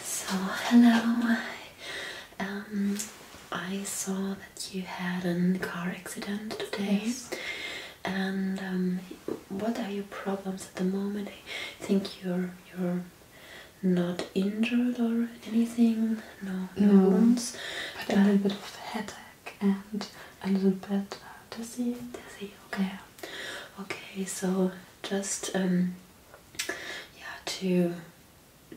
So hello. Um, I saw that you had a car accident today, and um, what are your problems at the moment? I think you're you're not injured or anything. No, no, no wounds. But, a little bit of headache and a little bit dizzy. Dizzy. Okay. Okay. So just um, yeah to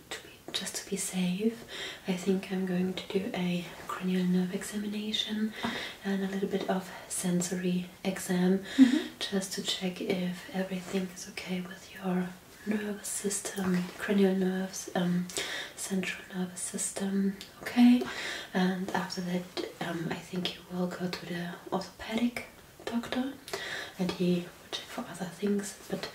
to just to be safe I think I'm going to do a cranial nerve examination and a little bit of sensory exam mm-hmm. just to check if everything is okay with your nervous system cranial nerves um, central nervous system okay and after that um, I think you will go to the orthopedic doctor and he will check for other things, but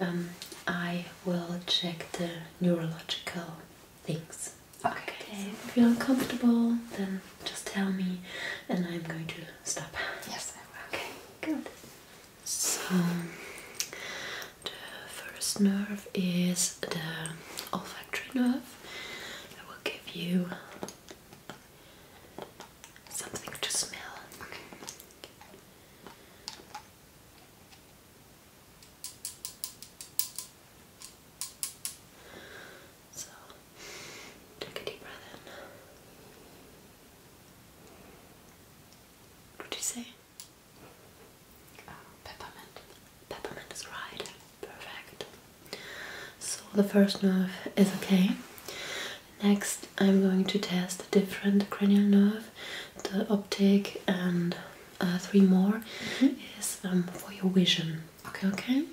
um, I will check the neurological things. Okay. If you're uncomfortable, then just tell me and I'm going to stop. Yes, I will. Okay, good. So, the first nerve is the olfactory nerve. I will give you something to smell. So, take a deep breath in. What did you say? Oh, peppermint. Peppermint is right. Perfect. So the first nerve is okay. Next, I'm going to test a different cranial nerve, the optic, and uh, three more mm-hmm. is um, for your vision. Okay, okay.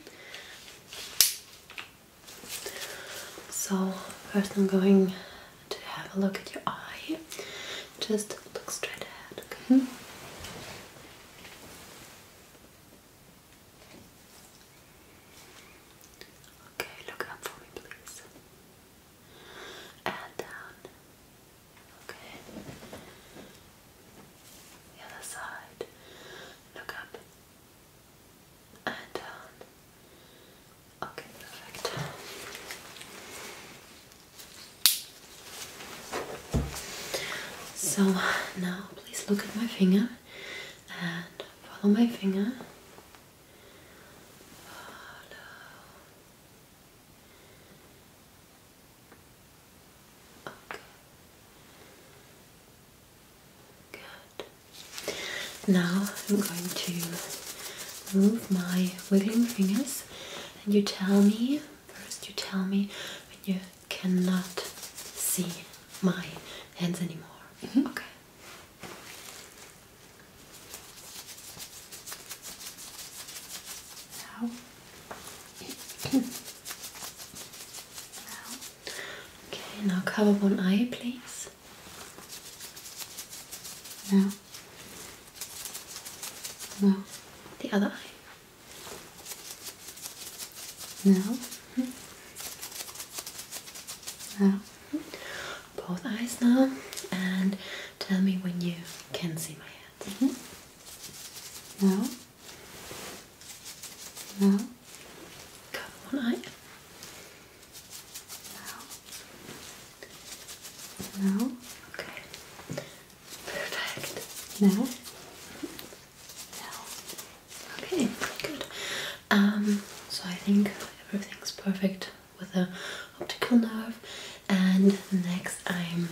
So first, I'm going to have a look at your eye. Just look straight ahead. Okay. Mm-hmm. Okay, look up for me, please. And down. Okay. The other side. Look up. And down. Okay, perfect. So now please look at my finger and Follow my finger. Good. Now I'm going to move my wiggling fingers and you tell me first you tell me when you cannot see mine hands anymore. Mm-hmm. Okay. Now. Okay, now cover one eye, please. Now. Now. The other eye. Now. Now, both eyes now, and tell me when you can see my hand. Now, mm-hmm. now, cover one eye. Now, now, okay, perfect. Now, no. Okay, good. Um, so I think everything's perfect with the optical nerve, and next I'm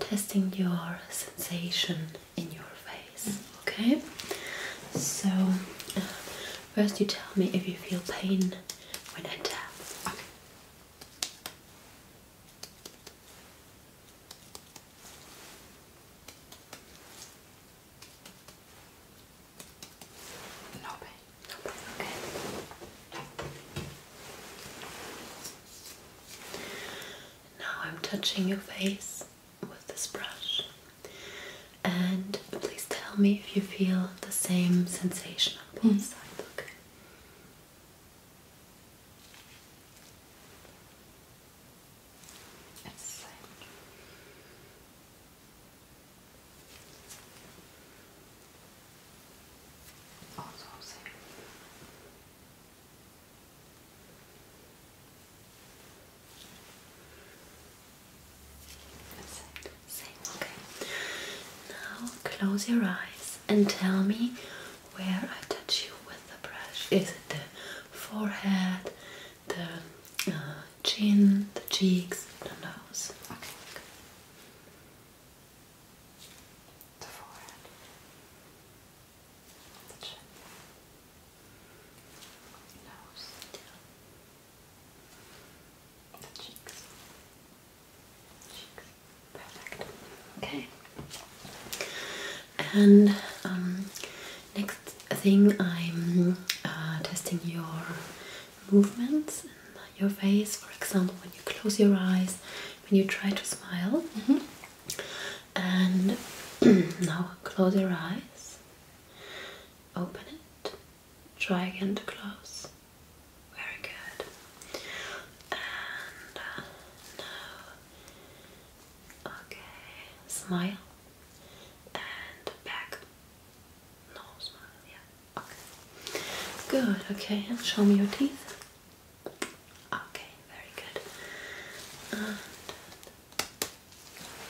testing your sensation in your face. Okay. So uh, first, you tell me if you feel pain when I tap. Now I'm touching your face with this brush. And please tell me if you feel the same sensation on the hmm. side. okay? okay. Now close your eyes and tell me where I touch you with the brush. Is it the forehead, the uh, chin, the cheeks, the nose. The forehead. The chin. Nose. The cheeks. Cheeks. Perfect. Okay. And um, next thing, I'm uh, testing your movements in your face. For example, when you close your eyes, when you try to smile. Mm-hmm. And now close your eyes, open it, try again to close. Very good. And uh, now, okay, smile and back. No smile, yeah. Okay. Good, okay, show me your teeth. Okay, very good.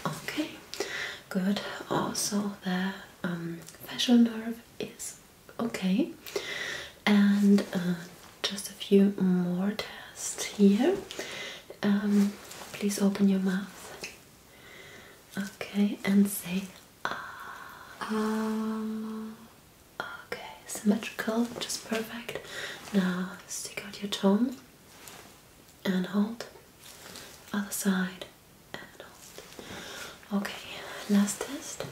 okay, good. Also the um, facial nerve is okay. And uh, just a few more times here. Um, please open your mouth. Okay, and say ah. ah. Okay, symmetrical, just perfect. Now stick out your tongue and hold. Other side and hold. Okay, last test.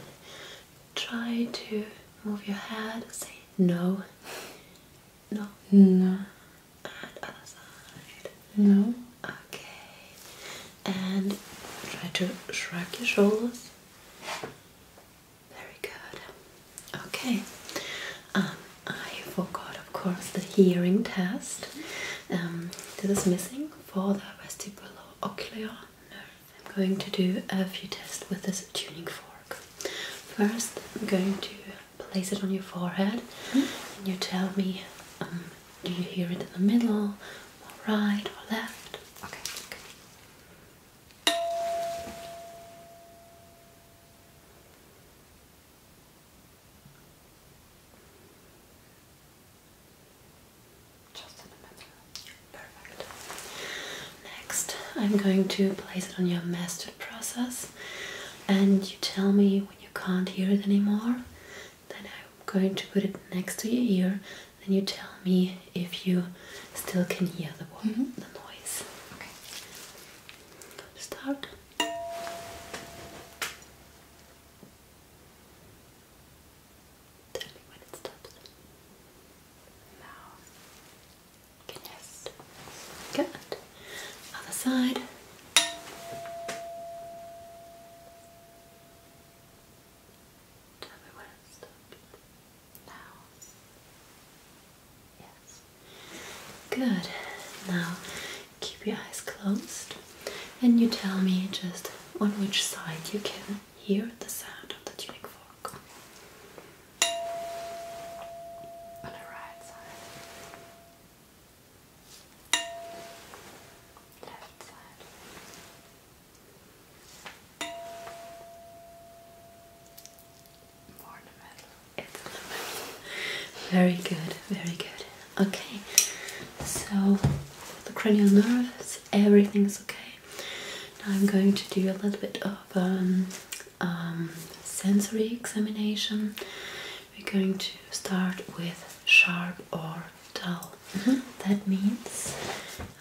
Try to move your head. Say no. No. No. No. Okay. And try to shrug your shoulders. Very good. Okay. Um, I forgot, of course, the hearing test. Um, this is missing for the vestibular ocular nerve. I'm going to do a few tests with this tuning fork. First, I'm going to place it on your forehead hmm? and you tell me um, do you hear it in the middle or right or left okay, okay. Just in the middle. Perfect. Next, I'm going to place it on your master process and you tell me when you can't hear it anymore then I'm going to put it next to your ear then you tell me if you still can hear the, mm-hmm. the noise okay start Tell me when it stops. Now. Good. Other side. Tell me when it stopped. Now. Yes. Good. Now keep your eyes closed and you tell me just on which side you can hear the sound of the tuning fork. On the right side. Very good, very good. Okay, so the cranial nerves, everything's okay. Now I'm going to do a little bit of um, um, sensory examination, we're going to start with sharp or dull. Mm-hmm. That means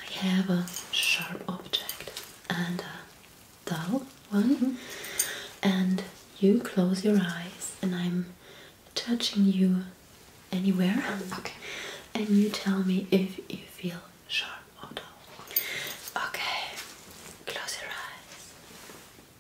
I have a sharp object and a dull one, mm-hmm. and you close your eyes, and I'm touching you anywhere. Okay. And you tell me if you feel sharp or dull. Okay, close your eyes.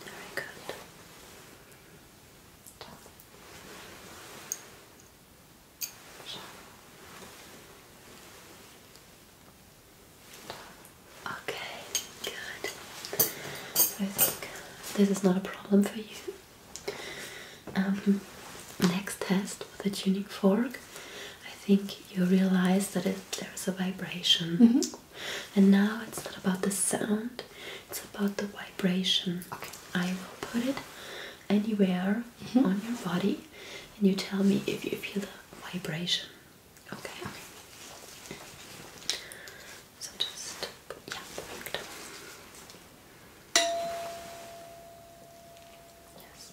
Very good. Okay, good. I think this is not a problem for you. Um, next test the tuning fork, I think you realize that there's a vibration. Mm-hmm. And now it's not about the sound, it's about the vibration. Okay. I will put it anywhere mm-hmm. on your body and you tell me if you feel the vibration. Okay. okay. So just, yeah, perfect. Yes.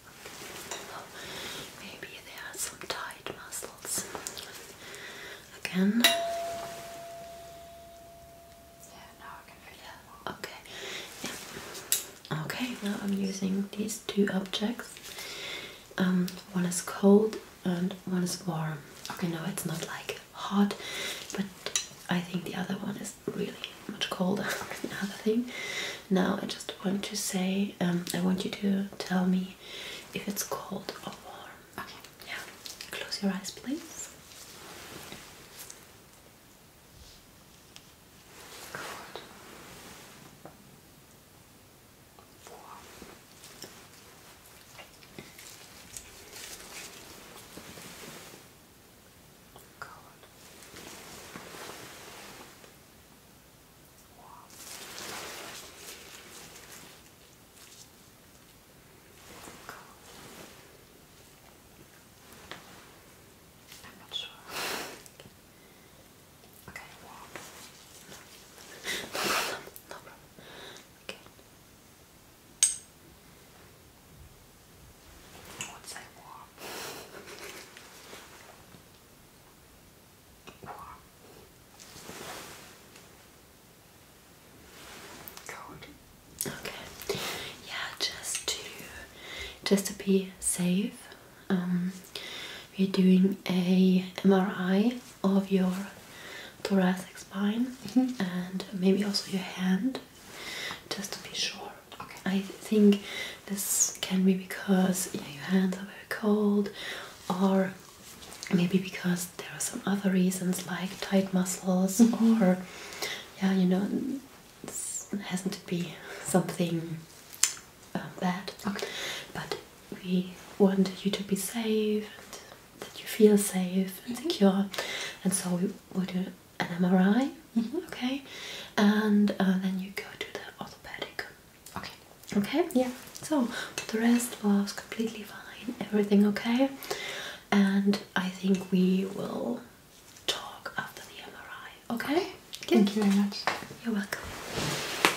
Okay. maybe there are some tight muscles. Again. Yeah, now I can feel yeah. Okay. Yeah. Okay, now I'm using these two objects. Um, one is cold and once is warm. Okay, no, it's not like hot, but I think the other one is really much colder the other thing. Now I just want to say, um, I want you to tell me if it's cold or warm. Okay, yeah. Close your eyes, please. Cold four. Oh, God. Wow. Oh, God. I'm not sure. Okay, no problem, no problem. Okay. What's that warm? Warm. Cold. Okay. Yeah, just to just to be safe. Um, we're doing a MRI of your thoracic spine mm-hmm. and maybe also your hand just to be sure. Okay. I think this can be because your hands are very cold or maybe because there are some other reasons like tight muscles mm-hmm. or yeah you know it has to be something bad. But we wanted you to be safe and that you feel safe and mm-hmm. secure, and so we will do an MRI. Mm-hmm. Okay, and uh, then you go to the orthopedic. Okay. Okay. Yeah. So the rest was completely fine. Everything okay, and I think we will talk after the MRI. okay. Thank you very much. You're welcome.